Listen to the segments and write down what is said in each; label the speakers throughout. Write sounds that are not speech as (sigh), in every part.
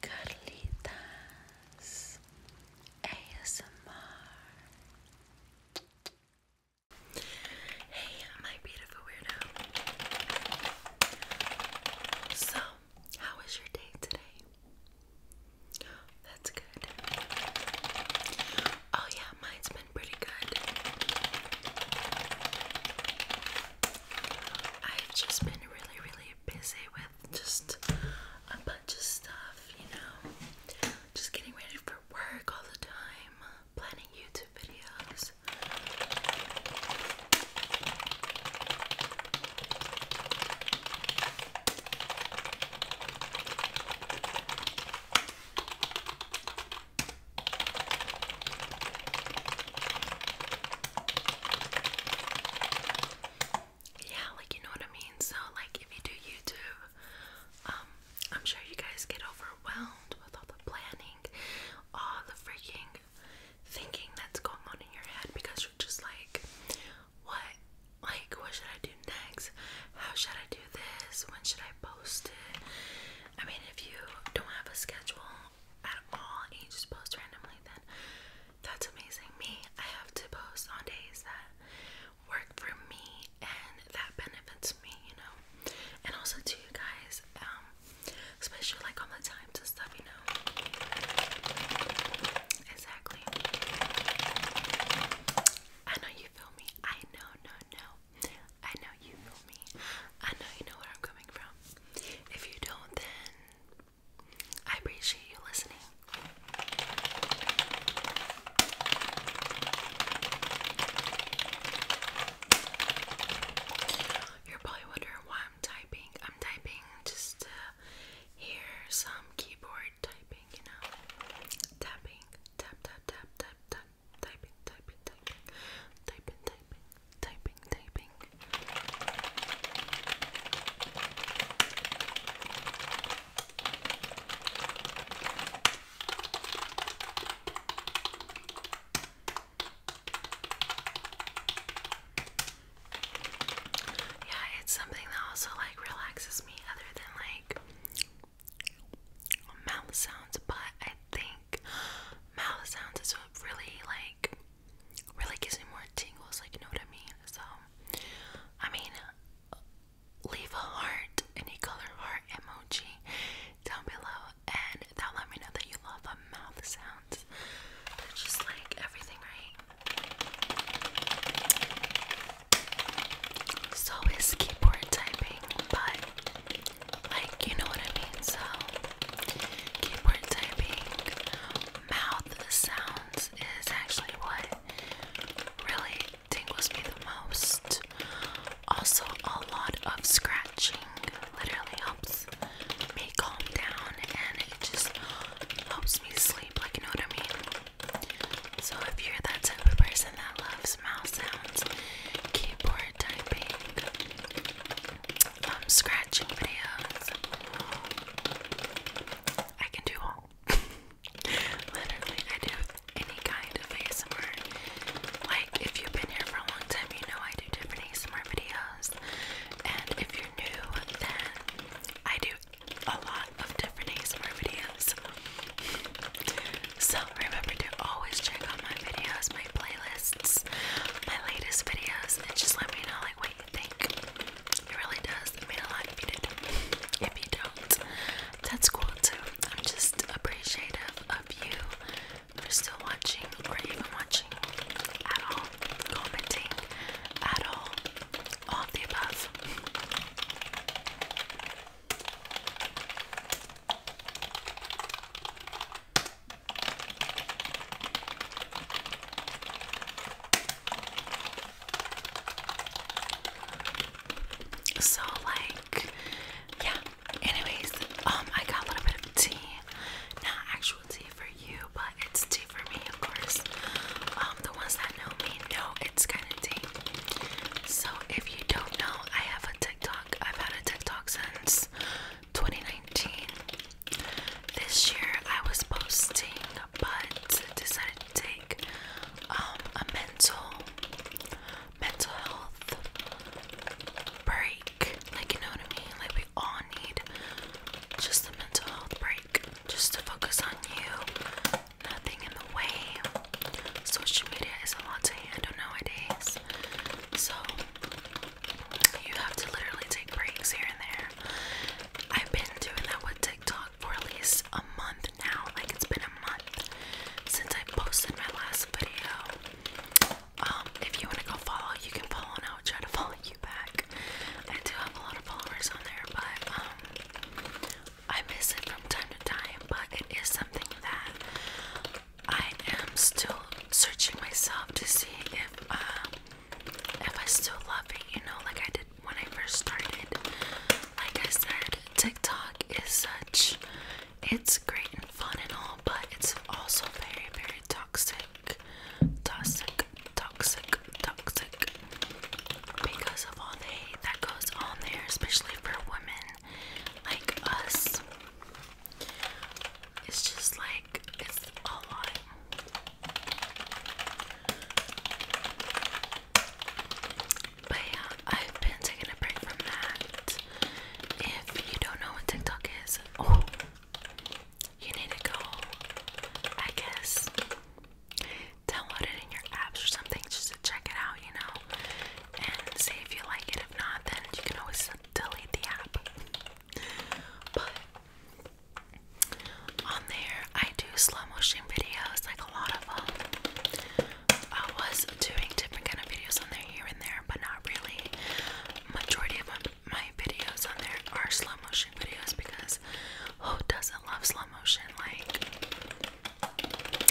Speaker 1: Carlitas ASMR. Hey, my beautiful weirdo. So, how was your day today? That's good. Oh, yeah, mine's been pretty good. I've just been really, really busy with just a bunch of stuff, you know, just getting ready for work all the time, planning YouTube videos. Yeah, like you know what I mean? So like if you do YouTube, um, I'm sure you guys get overwhelmed with all the planning, all the freaking thinking that's going on in your head because you're just like, what? Like, what should I do next? How should I do this? When should I post it? I mean, if you don't have a schedule at all and you just post randomly, then that's amazing. Me, I have to post on days that work for me and that benefits me, you know. And also to you guys, um, especially like on the time to stuff, you know. Exactly. I know you feel me. I know, no, no. I know you feel me. I know you know where I'm coming from. If you don't, then I appreciate you listening. You're probably wondering why I'm typing. I'm typing just to hear some keyboard typing, you know? Tapping, tap, tap, tap, tap, tap, typing, typing, typing, typing, typing, typing, typing. Yeah, it's something that also like relaxes me other than like mouth sounds, but I think mouth sounds is really like really gives me more tingles, like you know what I mean? So I mean leave a heart, any color heart emoji down below and that'll let me know that you love the mouth sounds. they just like everything, right? So is keyboard typing, but like you know what I mean, so Keyboard typing, mouth sounds is actually what really tingles me the most. Also, a lot of scratching literally helps me calm down and it just helps me sleep, like, know what I mean? So, if you're that type of person that loves mouth sounds, keyboard typing, um, scratching videos. I can do all. (laughs) Literally, I do any kind of ASMR. Like, if you've been here for a long time, you know I do different ASMR videos. And if you're new, then I do a lot of different ASMR videos. So remember to always check out my videos, playlists, my latest videos, and just let me know like what you think. It really does mean a lot if you do. If you don't, that's cool too. I'm just appreciative of you for still watching or even watching at all, commenting at all, all the above. So like yeah. Anyways, um I got a little bit of tea. Not actual tea for you, but it's tea for me of course. Um the ones that know me know it's kinda tea. So if you don't know, I have a TikTok. I've had a TikTok since 2019. This year I was posting, but decided to take um, a mental, mental health break. Like you know what I mean? Like we all need just a mental health break, just to focus on you. Nothing in the way. Social media is a lot to handle nowadays, so you have to literally take breaks here and there. I've been doing that with TikTok for at least a month now. Like it's been a month since I posted my last video. Um, if you want to go follow, you can follow and I'll (laughs) follow you back. I do have a lot of followers on there, but um I miss it from time to time, but it is something that I am still searching myself to see if um if I still love it, you know, like I did when I first started. Like I said, TikTok is such it's great and fun and all, but it's also very, very toxic. Toxic, toxic, toxic. Because of all the hate that goes on there, especially for women like us. It's just like it's a lot. But I've been taking a break from that. If you don't know what TikTok is, oh, you need to go, I guess, download it in your apps or something just to check it out, you know, and see if you like it. If not, then you can always delete the app. But on there, I do slow motion videos, like a lot of them. Um, I was doing different kind of videos on there here and there, but not really. Majority of my, videos on there are slow motion videos because who doesn't love slow motion? Like,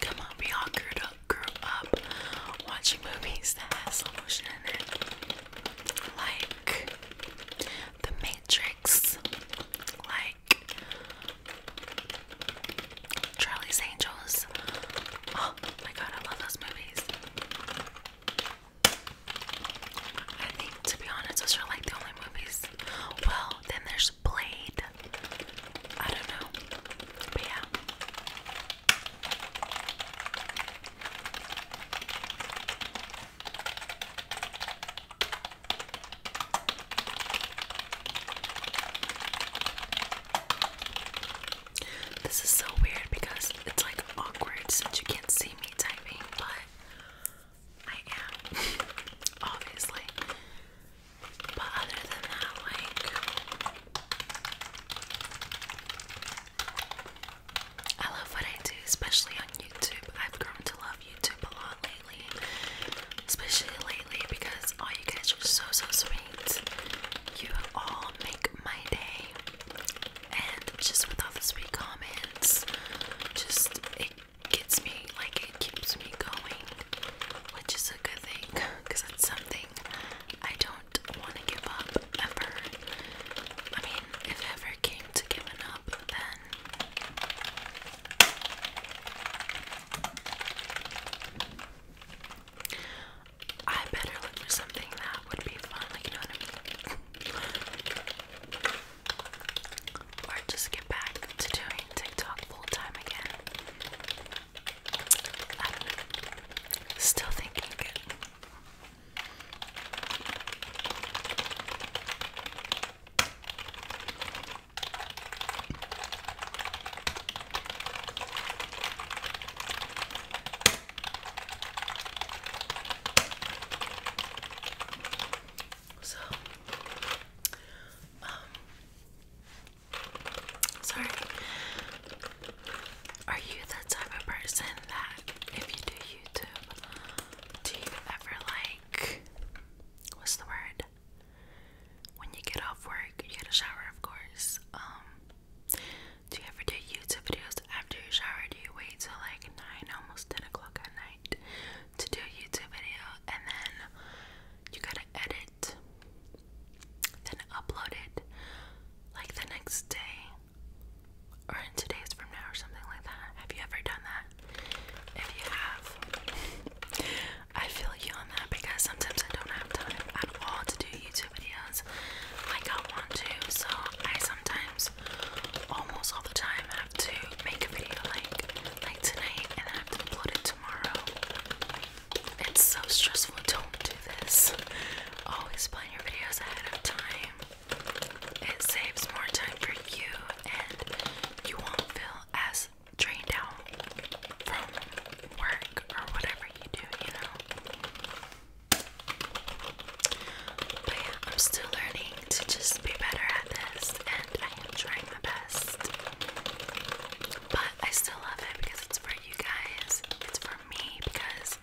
Speaker 1: come on, we all grew up, watching movies that had like The Matrix, like Charlie's Angels. Oh my god, I love those movies. I think, to be honest, those are like the only movies. Well, then there's Blade. I don't know. But yeah. This is so weird because it's like awkward since you can't see me typing, but I am, (laughs) obviously. But other than that, like, I love what I do, especially on YouTube. I've grown to love YouTube a lot lately, especially lately because all you guys are so so sweet. You all make my day, and just with all the sweet comments, just it gets me like it keeps me going, which is a good thing because it's something I don't don't want to give up ever. I mean, if ever came to giving up, then I better look for something that would be fun, like you know or just get back to doing TikTok full time again. Still thinking So, um, sorry, are you the type of person that if you do YouTube, do you ever like what's the word? When you get off work, you get a shower, of course. Um, do you ever do YouTube videos after you shower? Do you wait till like nine, almost ten o'clock at night to do a YouTube video, and then you gotta edit then uploaded like the next day or in two days from now or something like that. Have you ever done that? If you have, I feel you on that because sometimes I don't have time at all to do YouTube videos like I want to, so I sometimes almost all the time have to make a video like like tonight and I have to upload it tomorrow. It's so stressful. Don't do this. Always plan your videos ahead of time. It saves more time for you and you won't feel as drained out from work or whatever you do, you know. But yeah, I'm still learning to just be better at this and I am trying my best. But I still love it because it's for you guys. It's for me because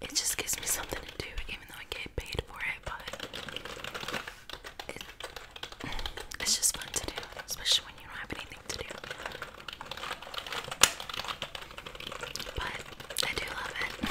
Speaker 1: it just gives me something to do, even though I get paid for it. But it's just fun to do, especially when you don't have anything to do. But I do love it.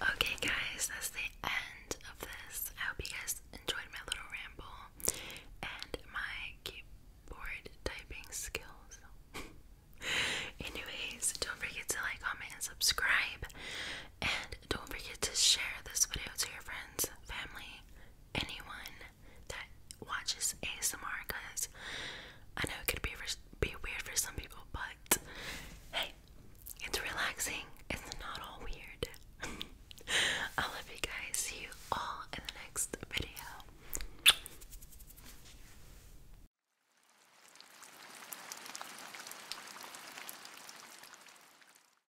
Speaker 1: Okay, guys, that's the end of this. I hope you guys enjoyed my little ramble and my keyboard typing skills. (laughs) Anyways, don't forget to like, comment, and subscribe. And don't forget to share this video to your friends, family, anyone that watches ASMR because I know it could be, be weird for some people, but hey, it's relaxing. It's not all weird. (laughs) I love you guys. See you all in the next video.